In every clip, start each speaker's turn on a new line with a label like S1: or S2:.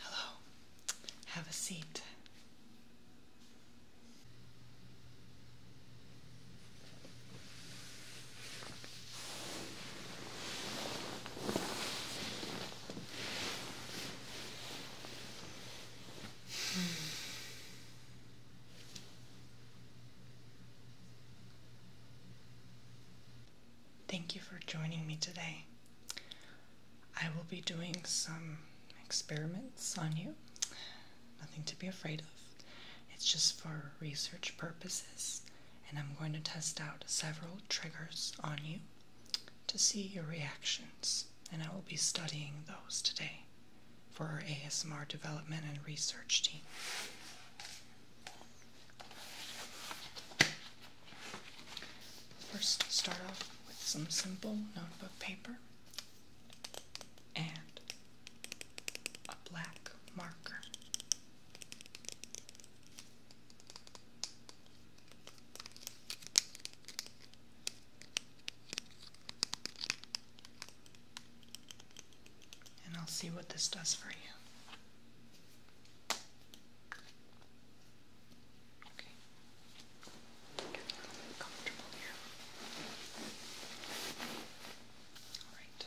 S1: Hello, have a seat. Hmm. Thank you for joining me today. I will be doing some experiments on you. Nothing to be afraid of. It's just for research purposes, and I'm going to test out several triggers on you to see your reactions, and I will be studying those today for our ASMR development and research team. First, start off with some simple notebook paper and a black marker. And I'll see what this does for you. Okay. Get comfortable here. All right.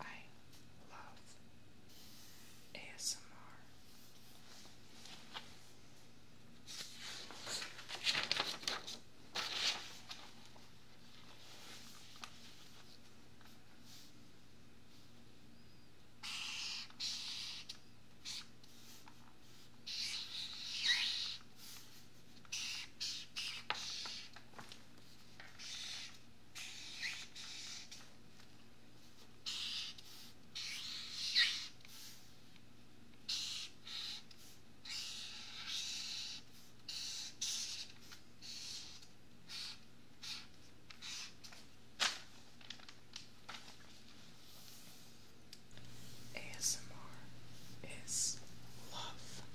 S1: I love ASMR. ASMR is love.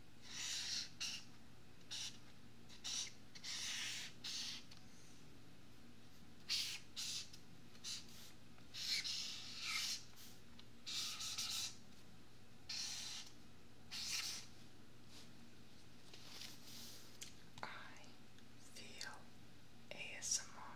S1: I feel ASMR.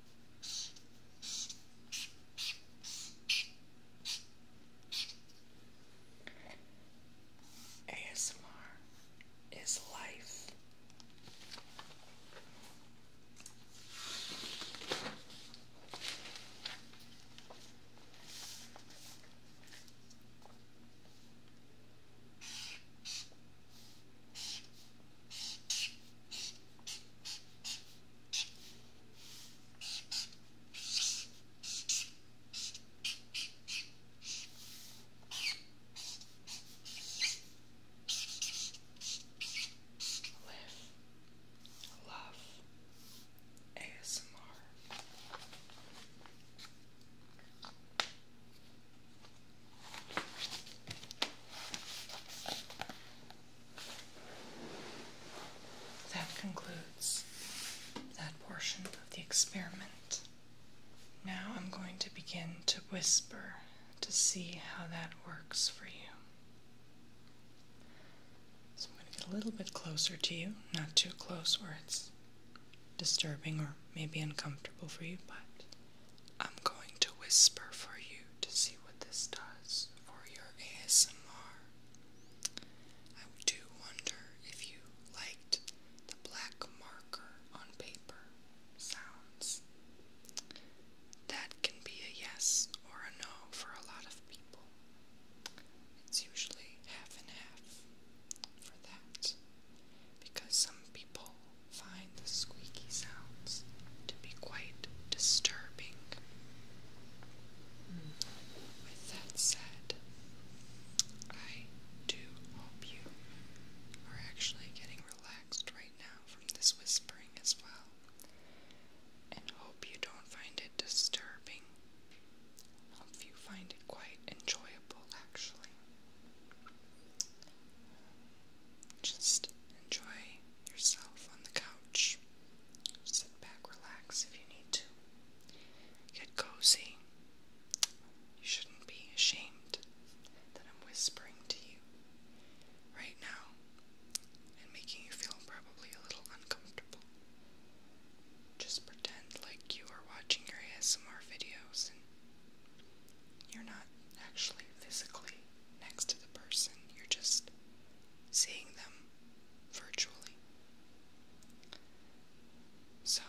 S1: ASMR is life. Live, love, ASMR. That concludes that portion of the experiment. Now I'm going to begin to whisper to see how that works for you. So I'm going to get a little bit closer to you, not too close where it's disturbing or maybe uncomfortable for you, but I'm going to whisper for you to see what this does for your ASMR. I do wonder if you liked the black marker on paper sounds. That can be a yes or a no for a lot of people. It's usually half and half for that because some people find the squeaky sounds to be quite disturbing. With that said, I do hope you are actually getting relaxed right now from this whispering as well, and hope you don't find it disturbing. Hope you find it quite enjoyable, actually. Just enjoy yourself on the couch. Sit back, relax if you need to. Get cozy. You shouldn't be ashamed that I'm whispering to you right now and making you feel probably a little uncomfortable. Just pretend like you are watching your ASMR videos you're not actually physically next to the person, you're just seeing them virtually. So,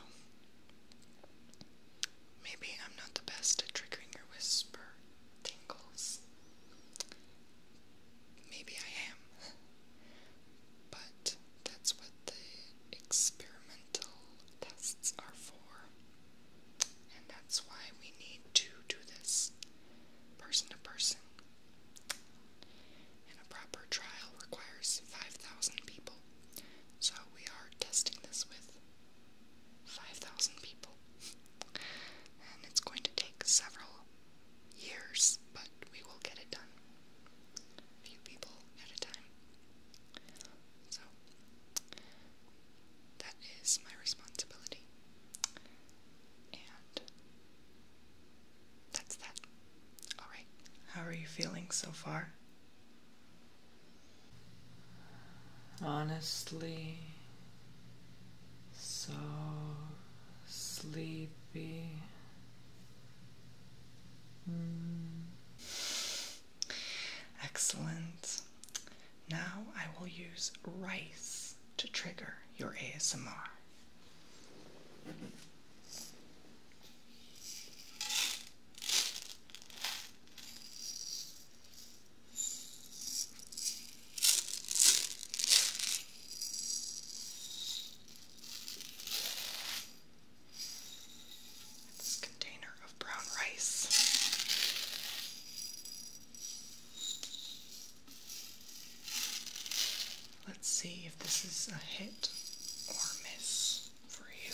S1: maybe I'm not the best at triggering your whisper tingles. Maybe I am. But that's what the experimental tests are for. And that's why we need to do this person to person. And a proper trial requires 5,000 people. So we are testing this with 5,000 people. And it's going to take several years, but we will get it done. few people at a time. So, that is my responsibility. And that's that. Alright. How are you feeling so far? Honestly, so sleepy. Mm. Excellent. Now I will use rice to trigger your ASMR. This container brown rice. Let's see if this is a hit or miss for you.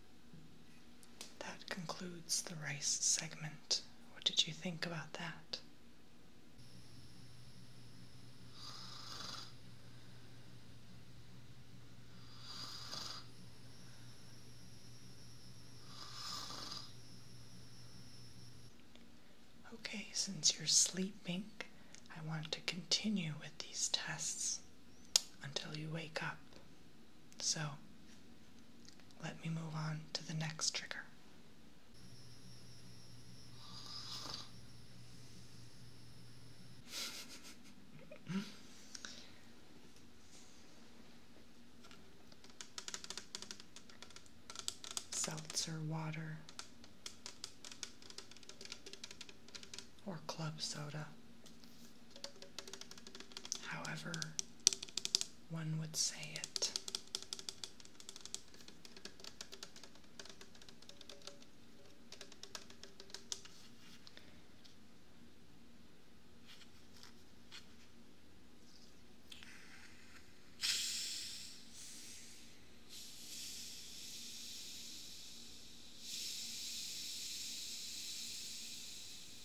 S1: That concludes the rice segment. What did you think about that? Okay, since you're sleeping, I want to continue with these tests until you wake up. So, let me move on to the next trigger. Seltzer water or club soda however one would say it.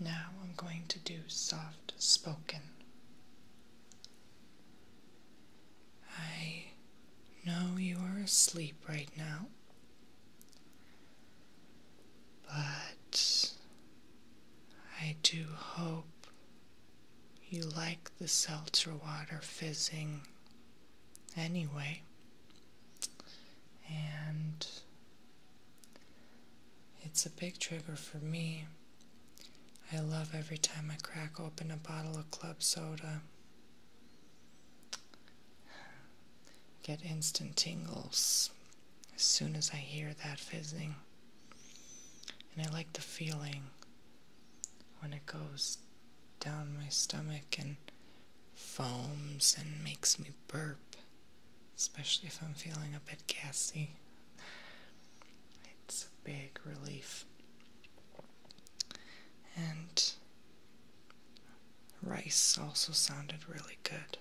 S1: Now I'm going to do soft spoken. I know you are asleep right now, but I do hope you like the seltzer water fizzing anyway, and it's a big trigger for me. I love every time I crack open a bottle of club soda. Get instant tingles as soon as I hear that fizzing. And I like the feeling when it goes down my stomach and foams and makes me burp, especially if I'm feeling a bit gassy. It's a big relief. And rice also sounded really good,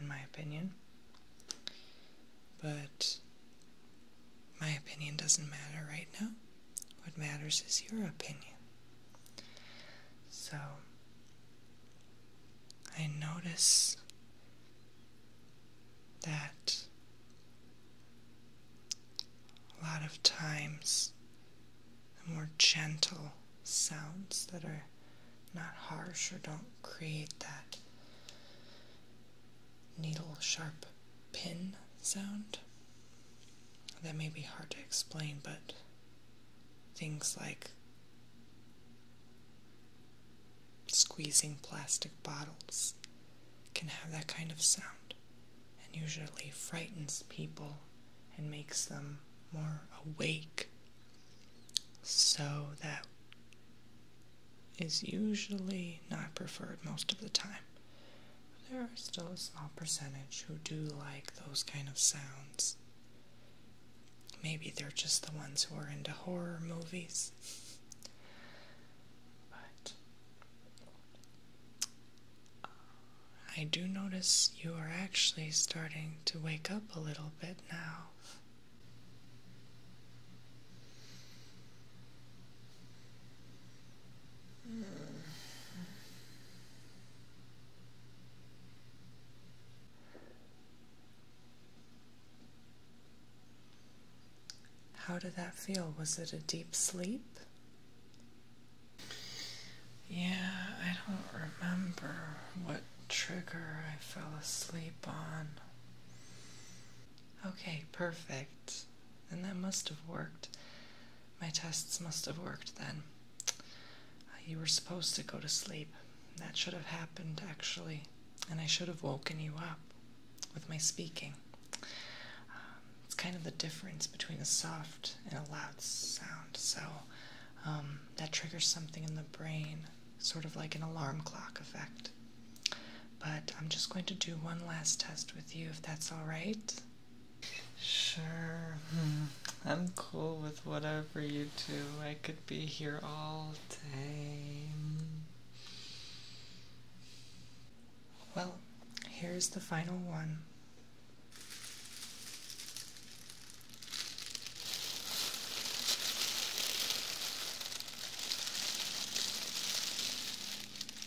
S1: in my opinion. But my opinion doesn't matter right now. What matters is your opinion. So, I notice that a lot of times the more gentle sounds that are not harsh or don't create that needle sharp pin sound. That may be hard to explain, but things like squeezing plastic bottles can have that kind of sound and usually frightens people and makes them more awake. So that is usually not preferred most of the time. There are still a small percentage who do like those kind of sounds. Maybe they're just the ones who are into horror movies. but uh, I do notice you are actually starting to wake up a little bit now. How did that feel? Was it a deep sleep? Yeah, I don't remember what trigger I fell asleep on. Okay, perfect and that must have worked. My tests must have worked then. Uh, you were supposed to go to sleep. That should have happened, actually, and I should have woken you up with my speaking. Um, it's kind of the difference between a soft and a loud sound, so um, that triggers something in the brain, sort of like an alarm clock effect but I'm just going to do one last test with you if that's alright. Sure. Hmm. I'm cool with whatever you do. I could be here all day. Well, here's the final one.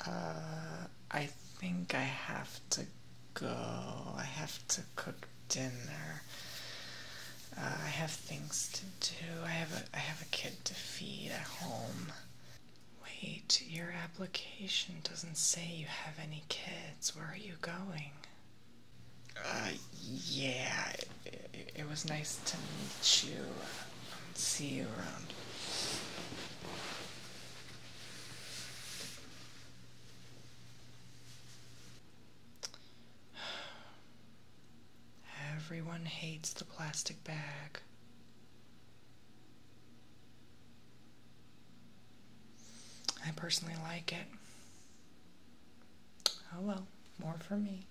S1: I uh, I think things to do. I have a I have a kid to feed at home. Wait, your application doesn't say you have any kids. Where are you going? Uh, yeah. it was nice to meet you. See you around. Everyone hates the plastic bag. I personally like it. Oh well, more for me.